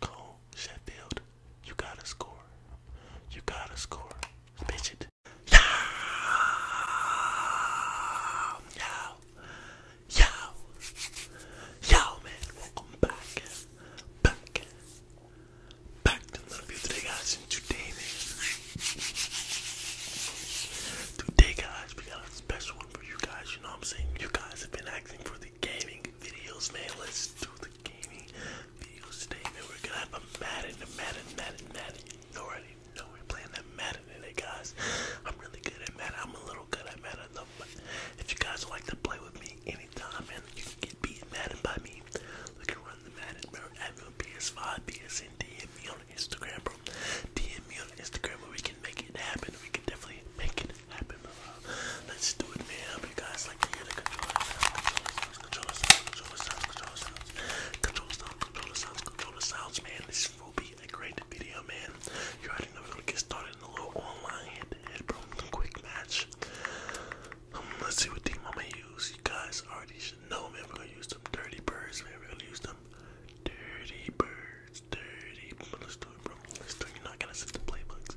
Cole Sheffield, you gotta score. You gotta score. Bitch it. Yow! Yow! Yow! Yow, man. Welcome back. Back. Back another video today, guys. And Today, guys, we got a special down for you guys, you know what I'm saying? You guys have been asking for the gaming videos, man. Let's do the gaming videos today, man. We're gonna have a Madden, a Madden, Madden, Madden. You already know we're playing that Madden today, guys. I'm really good at Madden. I'm a little good at Madden, though, but if you guys would like to play with me anytime, man, you can get beat Madden by me. Look can run the Madden, bro. Have your PS5, PSN, DM me on Instagram, DM me on Instagram and we can make it happen. We can definitely make it happen. let's do it, man. I hope you guys like to hear the controller sounds, controller sounds, controller sounds, controller sounds, controller sounds, controller sounds, sounds, man. This will be a great video, man. You already know gonna get started in a little online head head bro. Quick match. Um, let's see what team I'm gonna use. You guys already should know, man. We're gonna use some dirty birds, man. We're gonna use them dirty birds. It's dirty. But let's do it, bro. Let's do it. You're not gonna set the playbooks.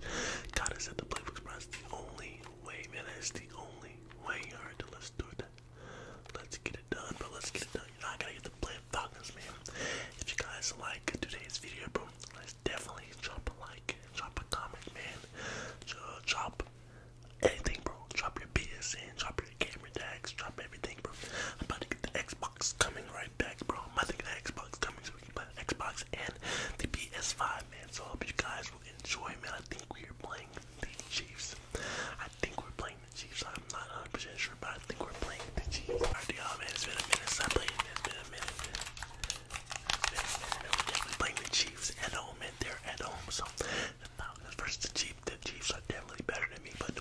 Gotta set the playbooks, bro. That's the only way, man. That's the only way. Alright, let's do it. Let's get it done, but let's get it done. You're not gonna get the play man. If you guys like today's video, bro, let's definitely drop a like, drop a comment, man. Drop anything, bro. Drop your PSN, drop your camera tags, drop everything think, bro. I'm about to get the Xbox coming right back, bro. I'm about to get the Xbox coming so we can play the Xbox and the PS5, man. So I hope you guys will enjoy, man. I think we are playing the Chiefs. I think we're playing the Chiefs. I'm not 100% sure, but I think we're playing the Chiefs. Alright, y'all, man. It's been a minute since I played. It's been a minute, man. It's been a minute, man. We're definitely playing the Chiefs at home, and they're at home. So the Falcons versus the Chiefs. The Chiefs are definitely better than me, but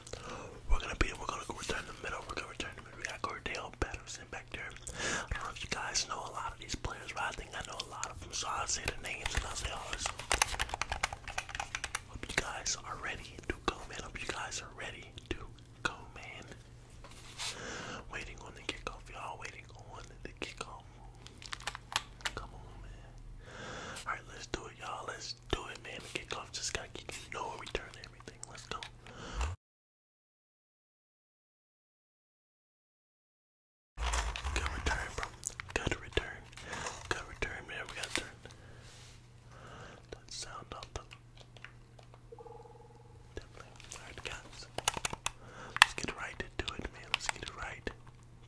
we're gonna be we're gonna go return the middle, we're gonna return to the middle. We got Cordell Patterson back there. I don't know if you guys know a lot of these players, but I think I know a lot of them, so I'll say the names and I'll say ours. Hope you guys are ready to go, man. Hope you guys are ready to go, man. Waiting on the kickoff, y'all. Waiting on the kickoff. Come on, man. Alright, let's do it, y'all. Let's do it, man. kickoff just gotta keep return everything. Let's go. Good return, bro. Good return. Good return, man. We gotta that sound up. Definitely. guys. Let's get right to it, man. Let's get right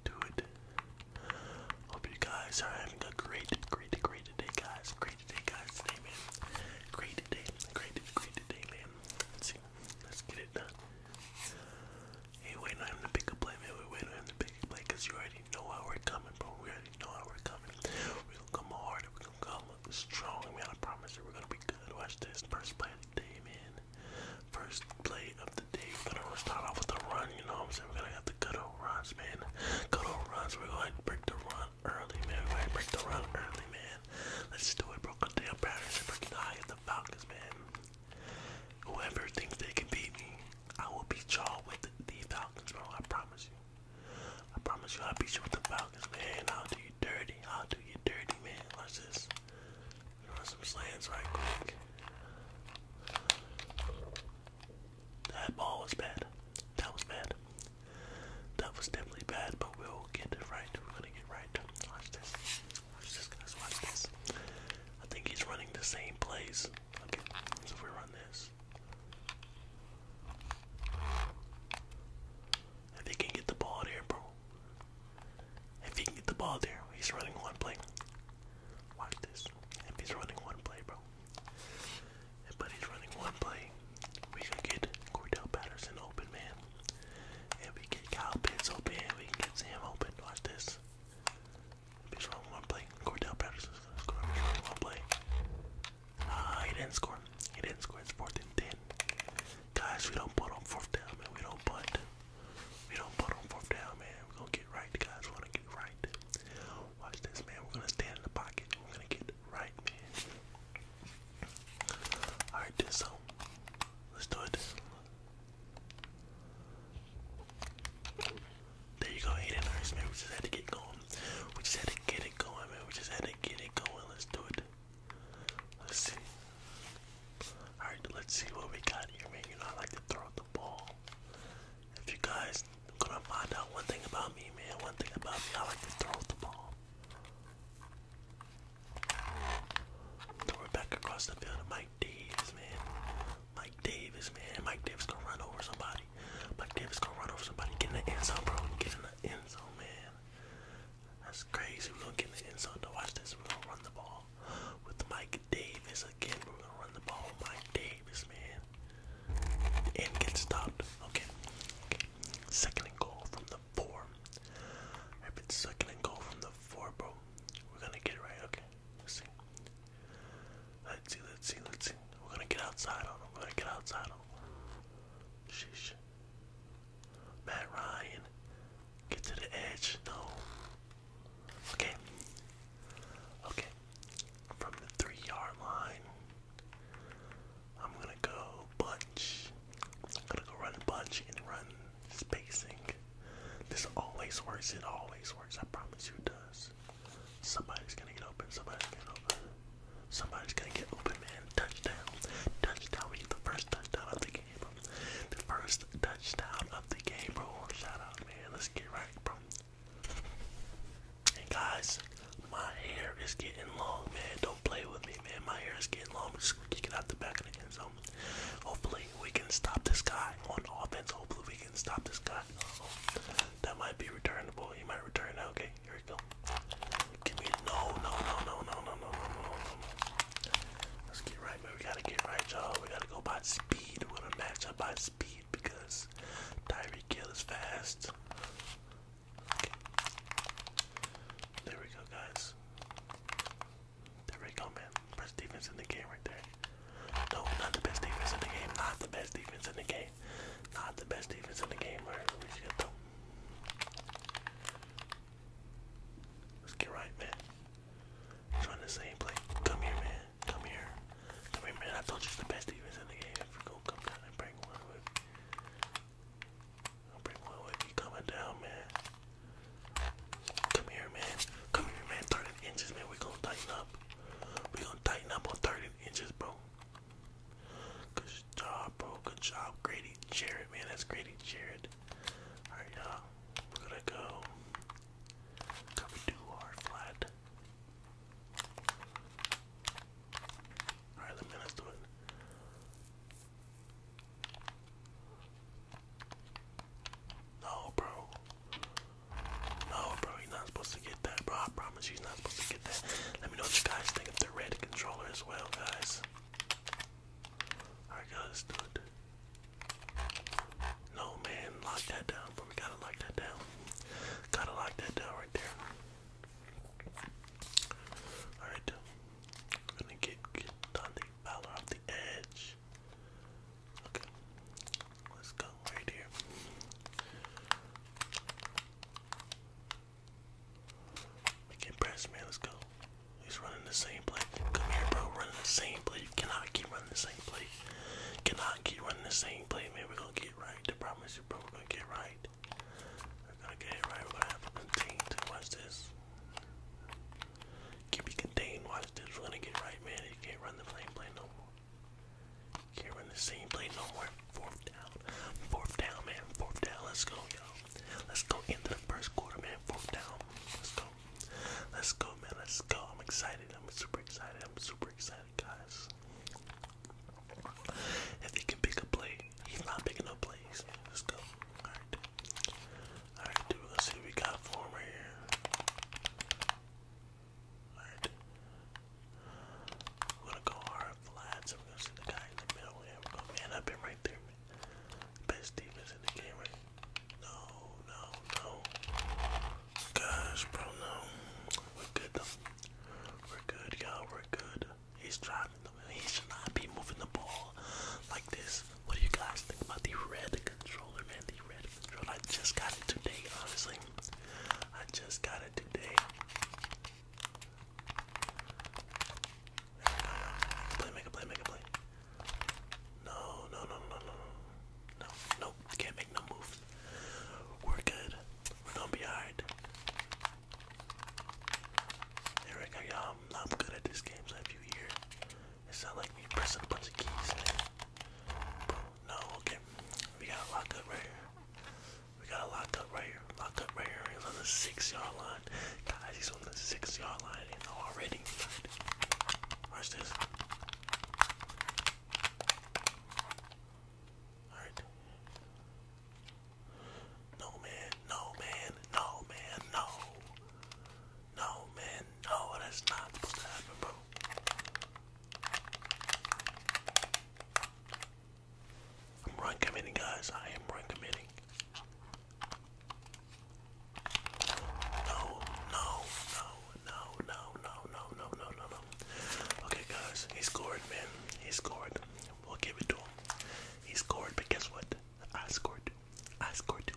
to it. Hope you guys are having a great, great, great day, guys great guys. Today, man. Great day. Great, great day, man. Let's see. Let's get it done. Hey, wait, I'm the big play, man. Wait, wait, I'm the big play, cause you already know how we're coming, bro. We already know how we're coming. we gonna come hard. we gonna come strong, man. I promise you, we're gonna be good. Watch this. First play of the day, man. First play of the day. We're gonna start off with a run. You know what I'm saying? We're gonna have the good old runs, man. Good old runs. We're gonna break the run early, man. Go break the run early, man. Let's do it, bro. Contain Patterson breaking the high of the Falcons, man. Whoever thinks they can beat me, I will beat y'all with the, Falcons, bro. I promise you. I promise you, I'll beat you with the Falcons, man. I'll do you dirty. I'll do you dirty, man. Watch this. Run some slams right quick. That ball was bad. That was bad. That was definitely bad, but we'll get it right. We're gonna get right. Watch this. Watch this, guys. Watch this. I think he's running the same plays. Okay, so if we run this. If he can get the ball there, bro. If he can get the ball there, he's running one play. Watch this. If he's running one play, bro but he's running one play. We could get Cordell Patterson open, man. And we get Kyle Pitts open, and we can get Sam open. Watch this. He's running one play. Cordell Patterson's gonna score. He's running one play. Ah, uh, he didn't score. He didn't score. It's fourth and ten. Guys, we don't put on fourth down, man. We don't punt. We don't put on fourth down, man. We're gonna get right. The guys wanna get right. Watch this, man. We're gonna stand in the pocket. We're gonna get right, man. Alright, this so let's do it. There you go, eight man. We just had to get going. We just had to get it going, man. We just had to get it going. Let's do it. Let's see. Alright, let's see what we got here, man. You know, I like to throw the ball. If you guys you're gonna find out one thing about me, man. One thing about me, I like to throw the ball. Throw it back across the field to Mike Davis, man. Mike Davis, man. Mike Davis gonna run over somebody. Mike Davis gonna run over somebody. Get in the end zone, bro. Get in the end zone, man. That's crazy. we gonna get in the end zone. Now watch this. we gonna run the ball with Mike Davis again. we gonna run the ball Mike Davis, man and get stopped. Okay. okay. Second and goal from the four. I've been second and goal from the four, bro. We're gonna get it right. Okay. Let's see. Let's see. Let's see. Let's see. We're gonna get outside on him. We're gonna get outside on him. Sheesh. Matt Ryan, get to the edge. No. Okay. Okay. From the three yard line. I'm gonna go bunch. I'm gonna go run bunch and run spacing. This always works, it always works, I promise you it does. Somebody's gonna get open, somebody's gonna open. Somebody's gonna get open, man. Touchdown. Touchdown. We get the first touchdown of the game. The first touchdown of the game, bro. Shout out, man. Let's get right, bro guys, my hair is getting long, man. Don't play with me, man. My hair is getting long. just going out the back of the end zone. Hopefully, we can stop this guy on offense. Hopefully, we can stop this guy. That might be returnable. He might return Okay, here we go. Give me no, no, no, no, no, no, no, Let's get right, man. We gotta get right, y'all. We gotta go by speed. We're to match up by speed because Tyreek Kill is fast. Okay. There we go, guys. There we go, man. Best defense in the game right there. No, not the best defense in the game. Not the best defense in the game. Not the best defense in the game. Let's get right, man. Join the same play. Come here, man. Come here. Remember, I told you the best defense in the game. If gonna come down and bring one with me, one with you coming down, man. Come here, man. Come here, man. 30 inches, man. we gonna tighten up. we gonna tighten up on 30 inches, bro. Good job, bro. Good job. Grady Jarrett, man. That's Grady Jarrett. Alright, y'all. we gonna go. Cover two hard flat. All right, let me let's do it. No, bro. No, bro, you not supposed to get that, bro. I promise you, not supposed to get that. Let me know what you guys think of the red controller as well, guys. Alright, guys, do it. No, man, lock that down, we gotta lock that down. Gotta lock that down right there. Alright, we're gonna get, get on off the edge. Okay, let's go right here. We can press, man. Let's go. He's running the same play. Come here, bro. Running the same play. You cannot keep running the same play. cannot keep running the same play, man. we gonna get right. I promise you, bro. we gonna get right right. we to get it right. We're gonna contain watch this. Keep it contained. Watch this. We're gonna get it right, man. You can't run the same play no more. can't run the same play no more. Fourth down. Fourth down, man. Fourth down. Let's go, y'all. Let's go into the first quarter, man. Fourth down. Let's go. Let's go, man. Let's go. I'm excited. I'm super excited. I'm super excited guys. If he can pick a play, he's not picking up plays. Let's go. Alright. Alright, dude, let's see we got for him Alright. We're gonna go hard flat, so we're gonna see the guy in the middle here. We're gonna right there, Best defense in the game, right? No, no, no. Gosh, bro, no. We're good though. We're good, you We're good. He's driving the ball. He should not be moving the ball like this. What do you guys think about the red controller, man? The red controller. I just got it today, honestly. I just got it today. play, make a play, make a play. No, no, no, no, no, no. No, Can't make no move. We're good. We're be alright. There we go, y'all. I'm good at this game, so you hear it's not like me pressing a bunch of keys No, okay. We gotta lock right here. We gotta lock right here. Lock right here. on the six yard line. Guys, he's on the six yard line and already. Watch this. No man, no man, no man, no. No man, no, that's not supposed to happen, bro. I'm run guys. I am run no, no, no, no, no, no, no, no, no, Okay, guys, he scored, man. He scored. We'll give it to him. He scored, but guess what? I scored I scored too.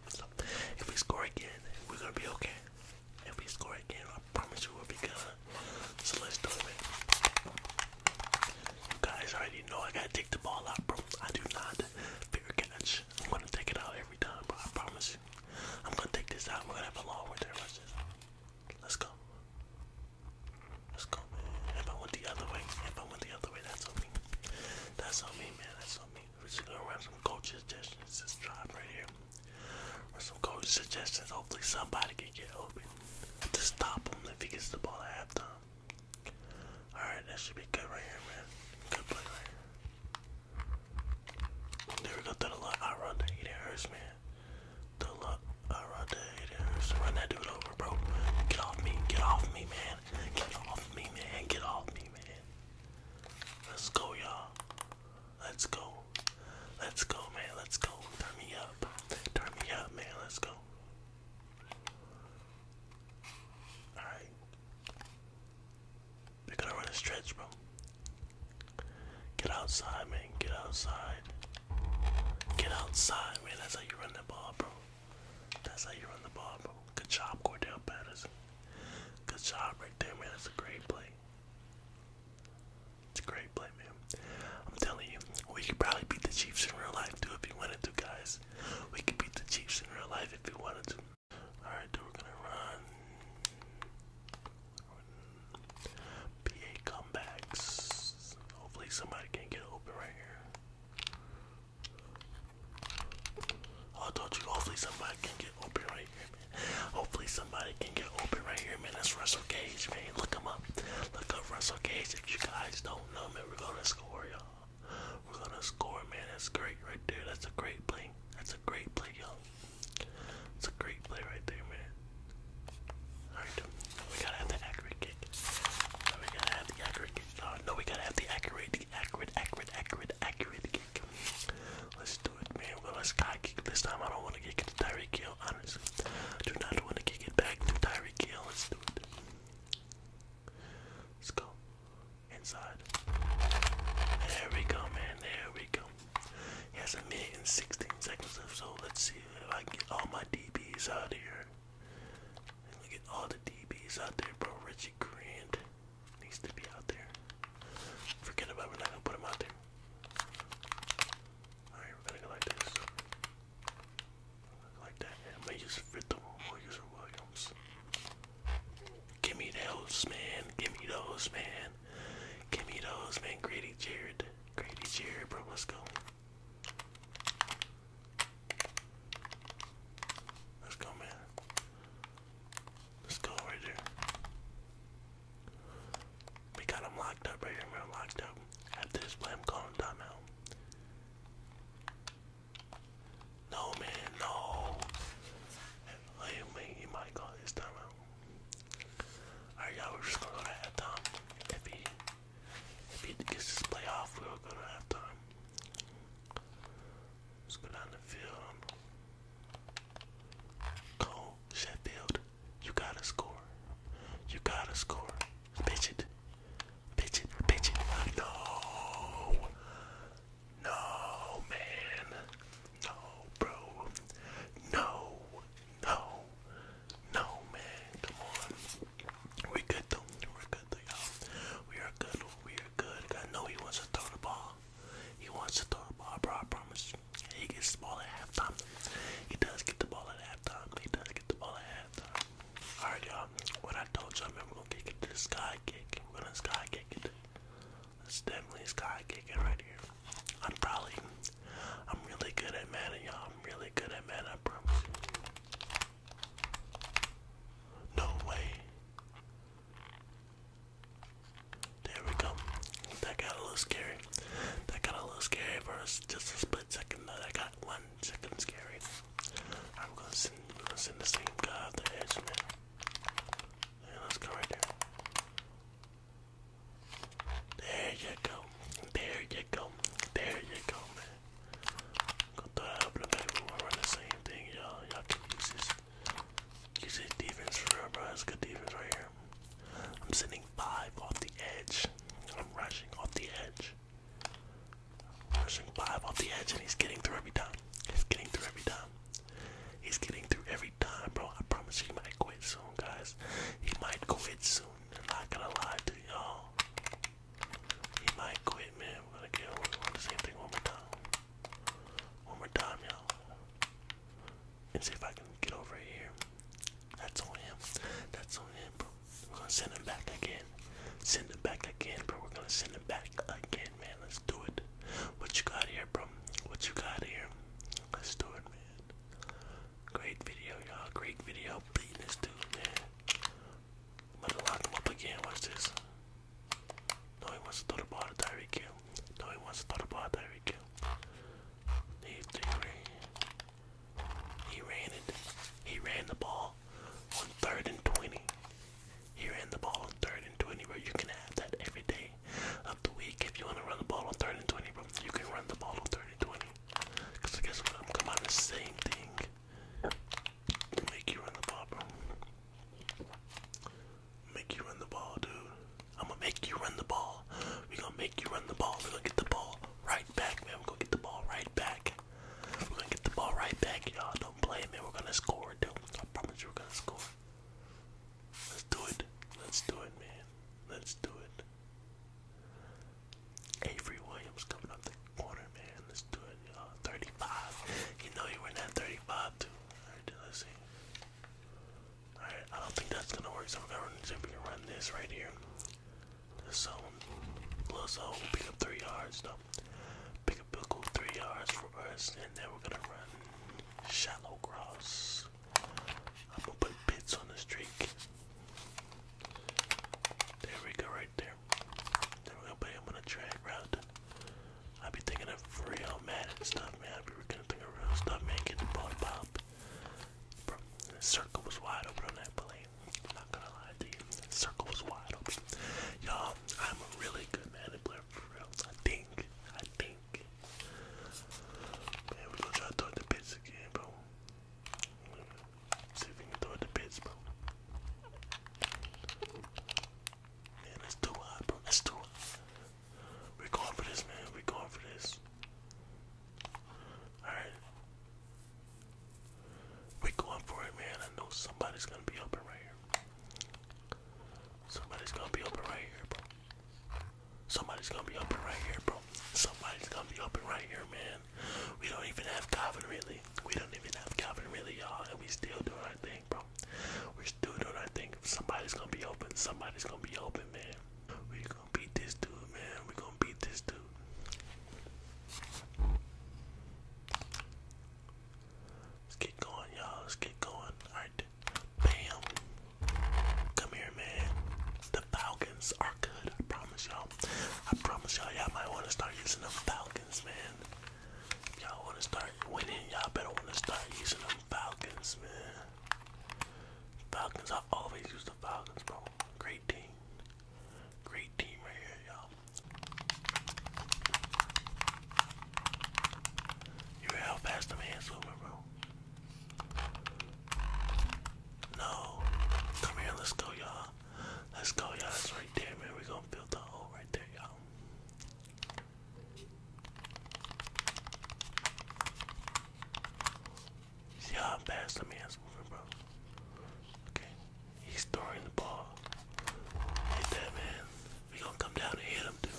if we score again, we're gonna be okay. If we score again, I promise you we'll be good. So let's do it. guys. I already know I gotta take the ball out, bro. I do not fear catch. I'm gonna take it out every time, bro. I promise you. I'm gonna take this out. We're gonna have a long Let's just Let's go. Let's go, man. If I went the other way, if I went the other way, that's on me. That's on me, man. That's on me. We're just gonna run some coaches' suggestions this drive right here. Run some coach suggestions. Hopefully somebody can get open to stop him if he gets the ball at halftime. Alright, that should be good right here, man. Good play right here. There we go, through the line. I run that. It man. The luck around So run that dude over, bro. Get off me. Get off me, man. Get off me, man. Get off me, man. Let's go, y'all. Let's go. Let's go, man. Let's go. Turn me up. Turn me up, man. Let's go. Alright. They're gonna run a stretch, bro. Get outside, man. Get outside. Get outside, man. That's how you run the ball, bro. That's how you run the ball, bro. Good job, Cordell Patterson. Good job right there, man. That's a great play. It's a great play, man. I'm telling you, we could probably beat the Chiefs in real life, too, if you wanted to, guys. We could beat the Chiefs in real life if you wanted to. Alright, dude, we're gonna run. PA comebacks. Hopefully somebody can get open right here. Oh, I told you, hopefully somebody can get open right here, man. Hopefully somebody can get open right here, man. That's Russell Cage, man. Look him up. Look up Russell Cage if you guys don't know, man. We're gonna score, y'all. We're gonna score, man. That's great right there. That's a great play. That's a great play, y'all. It's a great play right there, man. Alright, we gotta have that accurate kick. We gotta have the accurate kick. no, we gotta have the accurate, the accurate, accurate, accurate, accurate kick. Let's do it, man. Well, let's sky kick this time. I don't want to kick it to Tyreek Hill, honestly. do not want to kick it back to Tyreek Hill. Let's do it. Let's go. Inside. There we go, man. There we go. He has a minute and 16 seconds left, so let's see if I can get all my DBs out here. And look at all the DBs out there, bro. Richie Grant needs to be out there. Forget about it, we're gonna put him out there. Alright, we're gonna go like this. Like that. And I'm going Williams Williams. Give me those, man. Give me those, man. Give me those, man. Grady Jared. Grady Jared, bro. Let's go. Let's go, man. Let's go right there. We got him locked up right here. We're locked up. After this play, i timeout. No, man, no. Hey, man, you might call this timeout. Alright, y'all, we're just gonna go to halftime. If he, if he gets this playoff, we'll go to halftime. Let's go down the field. Cole, Sheffield, you gotta score. You gotta score. Pitch it. Pitch it. Pitch it. No. No, man. No, bro. No. No. No, man, come on. We good though. We're good though, y'all. We are good. We are good. I know he wants to throw the ball. He wants to throw the ball, bro. I promise. He gets the ball at halftime. He does get the ball at halftime. He does get the ball at halftime. All right, y'all. What I told y'all, man, we're gonna kick it sky We're gonna sky kick it. It's definitely sky kicking right here. I'm probably I'm really good at mana, y'all. I'm really good at mana, I promise No way. There we go. That got a little scary. That got a little scary for us. Just a split second though. That got one second scary. I'm gonna send, the same guy let's go right there. There you go. There you go. There you go, man. I'm gonna We're going the same thing, y'all. Y'all can use this. Use this defense for bro. That's good defense right here. I'm sending five off the edge. I'm rushing off the edge. I'm rushing five off the edge, and he's getting through every time. He's getting through every time. He's getting through every time, bro. I promise you, he might quit soon, guys. He might quit soon not gonna lie to y'all. He might quit, man. We're gonna get we the same thing one more time. One more time, y'all. And see if I can get over here. That's on him. That's on him, bro. We're gonna send him back again. Send him back again, bro. We're gonna send him back again, man. Let's do it. What you got here, bro? What you got here? Let's do it, man. Great video, y'all. Great video. Beating this dude, man. i to lock him up again. Watch this. No, he wants to throw the ball to Tyreek Kill. No, he wants to throw the ball to Tyreek Kill. He, he He ran it. He ran the ball on third and 20. He ran the ball on third and 20, bro. You can have that every day of the week. If you want to run the ball on third and 20, bro, you can run the ball on third and 20. Because I guess we're gonna come out the same thing to make you run the ball, bro. Make you run the ball, dude. I'm gonna make you run the ball. We're gonna make you run the ball. We're gonna get the ball right back, man. We're gonna get the ball right back. We're gonna get the ball right back, y'all. Don't play, man. We're gonna score, dude. I promise you, we're gonna score. Let's do it. Let's do it, man. Let's do it. Avery Williams coming up the corner, man. Let's do it. Uh, 35. You know you were in that 35 too. Alright, let's see. Alright, I don't think that's gonna work, so we're gonna see if we can run this right here. This zone. Little zone, pick up three yards though. Pick up a cool three yards for us, and then we're gonna run shallow cross. I'm gonna put bits on the streak. There we go, right there. Then we gonna put him on i be thinking of real mad and stuff, man. I'll gonna think of real stuff, man. Get the ball pop. Bro, the circle was wide open on that play. not gonna lie to you. The circle was wide open. Y'all, I'm a really good man player for real. I think. I think. Man, we gonna try to the bits again, bro. See if we can throw it to bits, bro. Man, that's too hot, bro. That's too hot. We're going for this, man. we going for this. Alright. we going for it, man. I know somebody's gonna be open right here. Somebody's gonna be open right here, bro. Somebody's gonna be open right here, bro. Somebody's gonna be open right here, man. We don't even have Calvin really. We don't even have Calvin really, y'all, and we still doing our thing, bro. We're still doing our thing. Somebody's gonna be open. Somebody's gonna be open, man. We gonna beat this dude, man. We gonna beat this dude. Let's get going, y'all. Let's get going. All right, bam. Come here, man. The Falcons are good. I promise promise y'all. I promise y'all, y'all might want to start using them Falcons, man. Y'all want to start winning. Y'all better want to start using them Falcons, man. Falcons, I always use the Falcons, bro. Great team. Great team right here, y'all. You hear how fast them hands moving, bro? No. Come here, let's go, y'all. Let's go, y'all. It's right there, man. We're gonna build the hole right there, y'all. See how I'm fast? Let me ask moving, bro. Okay. He's throwing the ball. Hit that, man. We're gonna come down and hit him, dude.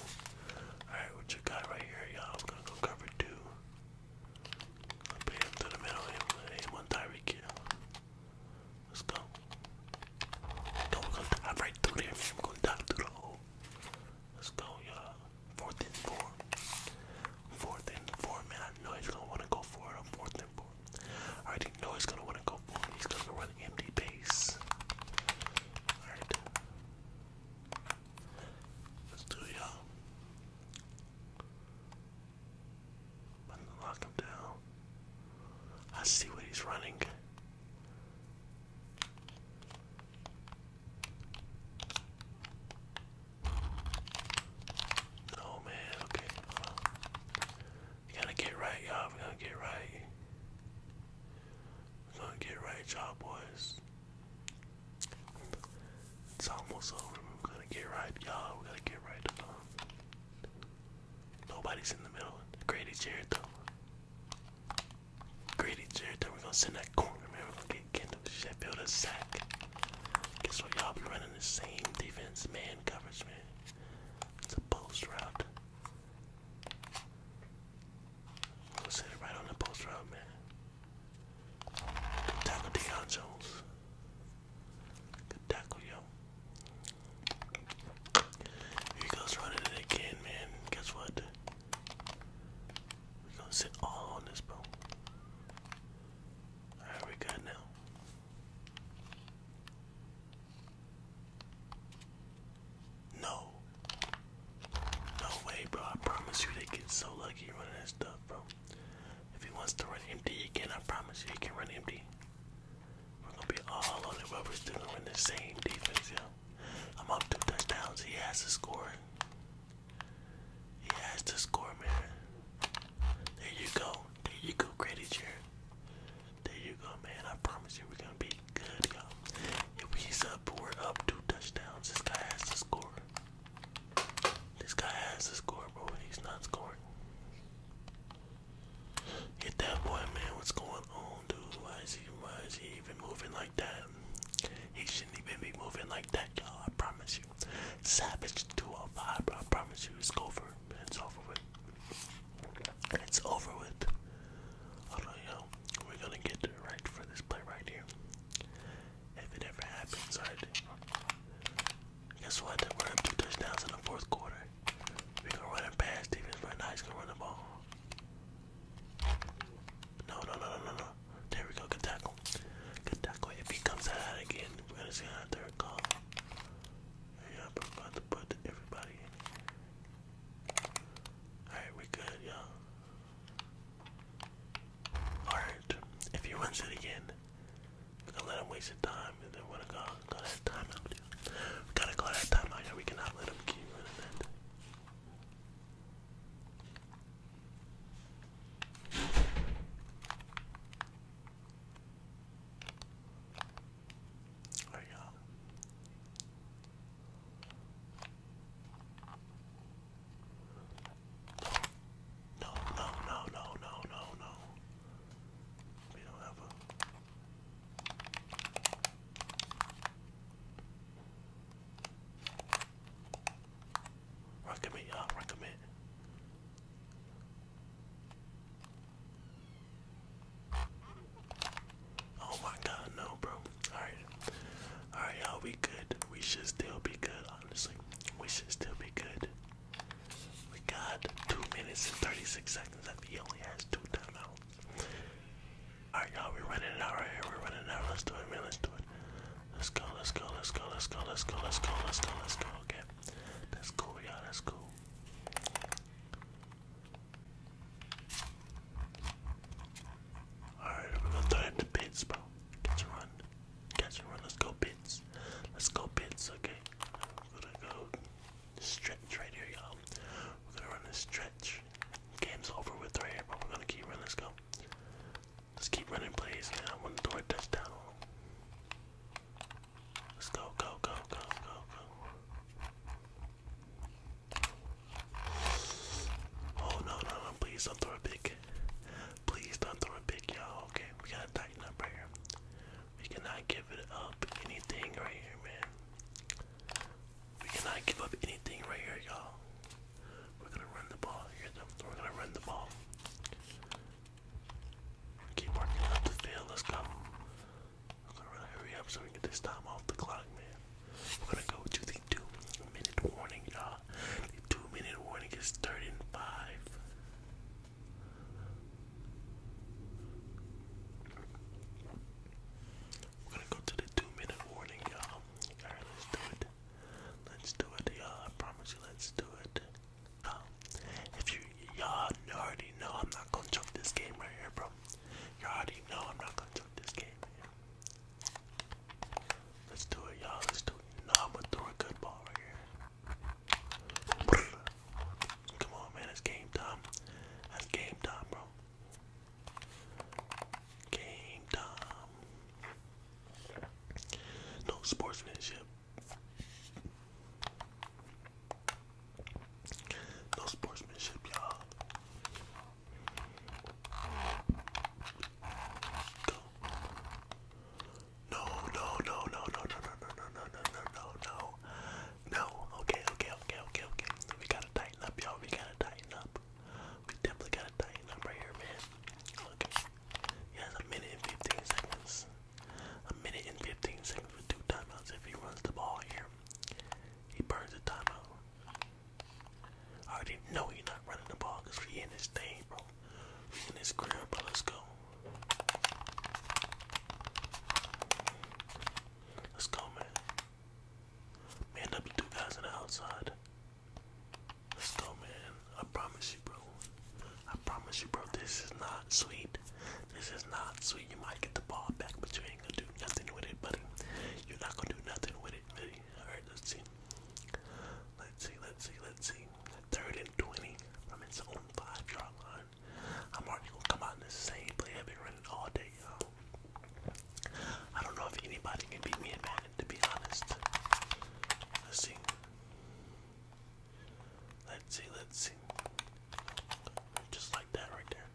Alright, what you got right here, y'all? I'm gonna go cover two. I beat him to the middle, hit him on Tyreek Hill. Let's go. No, we gonna dive right through there, we gonna dive through the hole. Let's go, y'all. Fourth and four. Fourth and four, man. I know he's gonna wanna go for it fourth and four. I already know he's gonna wanna go for it. He's gonna run empty base. Alright. Let's do it, y'all. But lock him down. I see where he's running. Oh man, okay. gotta get right, y'all. We gotta get right. we gonna get right, y'all boys. It's almost over. We're gonna get right, y'all. We're gonna get right to them. Nobody's in the middle. Grady Jarrett, though. Grady Jarrett, though. We're gonna send that corner, man. We're gonna get Kendall Sheffield a sack. Guess what? Y'all be running the same defense, man coverage, man. It's a post route. We'll set it right on the post route, man tackle, Deion Jones. Good tackle, yo. he goes running it again, man. Guess what? we gonna sit all on this, bro. Alright, we good now. No. No way, bro. I promise you they get so lucky running that stuff, bro. If he wants to run empty, he I promise you, he can run empty. We're gonna be all on it, but we're still going the same defense, yo. I'm up two touchdowns. He has to score. He has to score, man. There you go. There you go, Grady Chair. There you go, man. I promise you, we're gonna be good, yo. If he's up, we're up two touchdowns. This guy has to score. This guy has a score, bro, and he's not scoring. Get that boy, man. What's going on, Why is he, why is he even moving like that? He shouldn't even be moving like that, y'all. I promise you. Savage 205, bro. I promise you. It's over. It's over with. It's over with. Alright, yo. We're gonna get right for this play right here. If it ever happens, alright. Guess what? We're up two touchdowns in the fourth quarter. We can run it past defense right now. He's gonna run the ball. No, no, no, no, no, no. There we go. Good tackle. Good tackle. If he comes out again, we're gonna see how they're call. Yeah, but about to put everybody Alright, we good, y'all. Alright, if he wins it again, gonna let him waste his time and then we're gonna go, go that timeout. gotta call that timeout yeah. We cannot let him keep running that. Alright y'all. No, no, no, no, no, no, no. We don't have Recommend, y'all. Uh, recommend. Oh my God, no, bro. All right, all right, y'all. We good. We should still be good, honestly. We should still be good. We got 2 minutes and 36 seconds left. He only has 2 timeouts. Alright, y'all, we're running out here. We're running out. Let's do it, man. Let's do it. Let's go, let's go, let's go, let's go, let's go, let's go, let's go, let's go. Okay. That's cool, y'all. That's cool. Alright, we're gonna throw it in the pits, run. Catch and run. Let's go pits. Let's go pits. Okay. We're gonna go stretch right here, y'all. We're gonna run this stretch. Game's over with right here, but we're gonna keep running. Let's go. Let's keep running, please. I want to throw a touchdown. Let's go, go, go, go, go, go. Oh no, no, Please don't throw a big. Please don't throw a pick, y'all. Okay, we gotta tighten up here. We cannot give it up anything right here, man. We cannot give up anything right here, y'all. We're gonna run the ball. We're gonna run the ball. Keep working up the field. Let's go. to hurry up so we get this time off the clock, man. We're gonna go to minute warning, y'all two minute warning is third we We're gonna go to the two minute warning, y'all. Alright, let's do it. Let's do it, y'all. I promise you, let's do it. Um, if you y'all already know, I'm not gonna choke this game right here, bro. You already know I'm not gonna choke this game. Let's do it, y'all. Let's do it. No, I'm gonna throw a good ball right here. Come on, man. It's game time. That's game time, bro. Game time. No sportsmanship. No sportsmanship, y'all. Go. No, no, no, no, no, no, no, no, no, no, no, no, no. No. Okay, okay, okay, okay, okay. We gotta tighten up, y'all. We gotta tighten up. We definitely gotta tighten up right here, man. Okay. He has a minute and 15 seconds. A minute and 15 seconds with two timeouts. If he runs the ball here, he burns the timeout. I already know he's not running the ball because he in his thing, bro and his grandpa. Let's go. Let's go, man. Man up the two guys on the outside. Let's go, man. I promise you, bro. I promise you, bro. This is not sweet. This is not sweet. You might get the ball back, but you ain't gonna do nothing with it, buddy. You're not gonna do nothing with it, buddy. All right, let's see. Let's see. Let's see. Let's see third and 20 from its own five yard line. I'm already gonna come out in the same play I've been running all day, y'all. I don't know if anybody can beat me in Madden, to be honest. Let's see. Let's see, let's see. Just like that right there.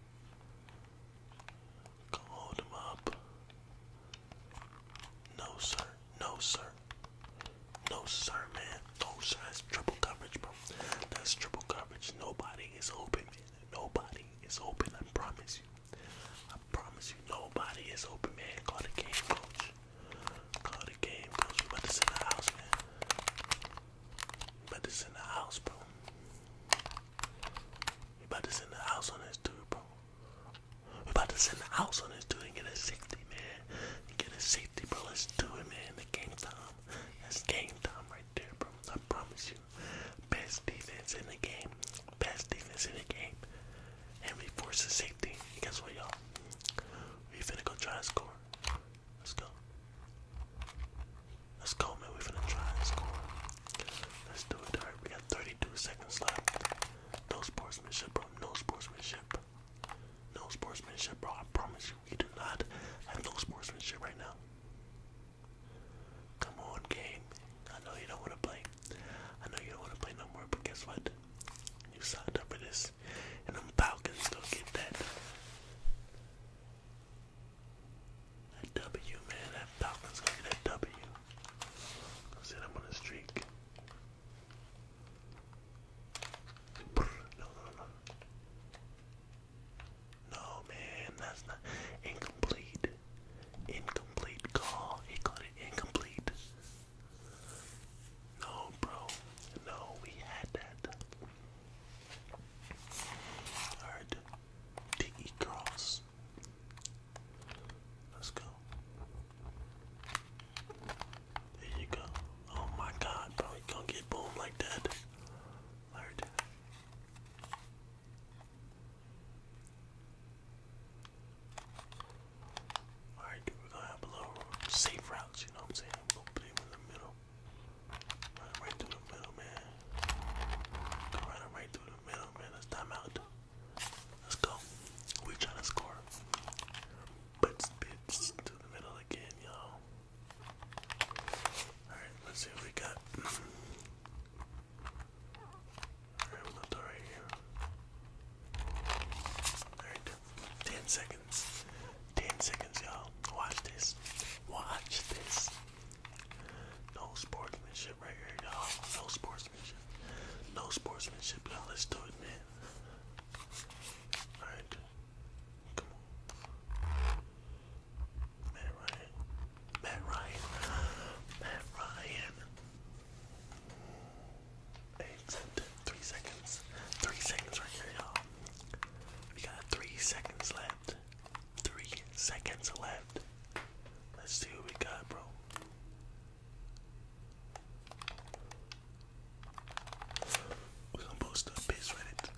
Go hold him up. No, sir. No, sir. No, sir, man. No, sir. That's triple coverage, bro. That's triple coverage. Nobody is open, man. Nobody is open. I promise you. I promise you. Nobody is open, man. Call the game coach. Call the game coach. We about to send the house, man. We this in the house, bro. We about to send the house on this dude, bro. We're about to send the house on this dude and get a safety, man. And get a safety, bro. Let's do it, man. The game time. That's game time right there, bro. I promise you. Best defense in the game. Best defense in the game. And we force the safety. And guess what, y'all? We finna go try and score. Let's go. Let's go, man. We finna try and score. Let's do it, alright? We got 32 seconds left. No sportsmanship, bro. No sportsmanship. No sportsmanship, bro. I promise you, we do not have no sportsmanship right now. Come on, game. I know you don't want to play. I know you don't want to play no more, but guess what? You signed up for this, and them Falcons gonna get that. That W, man. That Falcons gonna get that W. Go sit up on the streak. No, no, no. No, man, that's not incomplete. Incomplete call. He called it incomplete. No, bro. No, we had that. Alright. DE cross. Let's go. There you go. Oh my god, bro, gonna get boomed like that. Alright, dude, we're gonna have a little safe routes, you know what I'm saying? We'll put him in the middle. Run right through the middle, man. Go right through the middle, man. Let's time out. Let's go. We trying to score. But spits to the middle again, y'all. Alright, let's see what we got. Alright, we'll do right here. Alright, 10 seconds. 10 seconds, y'all. Watch this. Watch this. No sportsmanship right here, y'all. No sportsmanship. No sportsmanship, y'all. Let's do it, man. Alright. Come on. Matt Ryan. Matt Ryan. Matt Ryan. Eight, three seconds. Three seconds right here, y'all. We got three seconds left. Three seconds left. Let's see what we got, bro. We're gonna boost up base Reddit.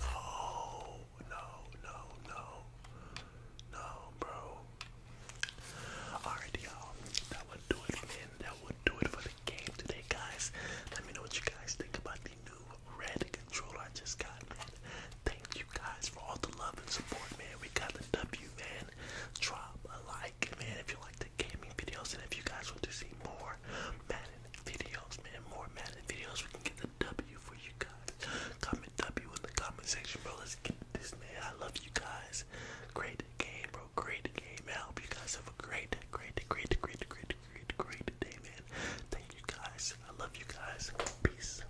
no, no, no, no, bro. Alright, y'all. That would do it, man. That would do it for the game today, guys. Let me know what you guys think about the new red controller I just got, man. Thank you guys for all the love and support, man. We got the W, man. Drop a like, man, if you like the gaming videos, and if you guys want to see more Madden videos, man, more Madden videos, we can get the W for you guys. Comment W in the comment section, bro. Let's get this, man. I love you guys. Great game, bro. Great game. Man. I hope you guys have a great, great, great, great, great, great, great day, man. Thank you guys. I love you guys. Peace.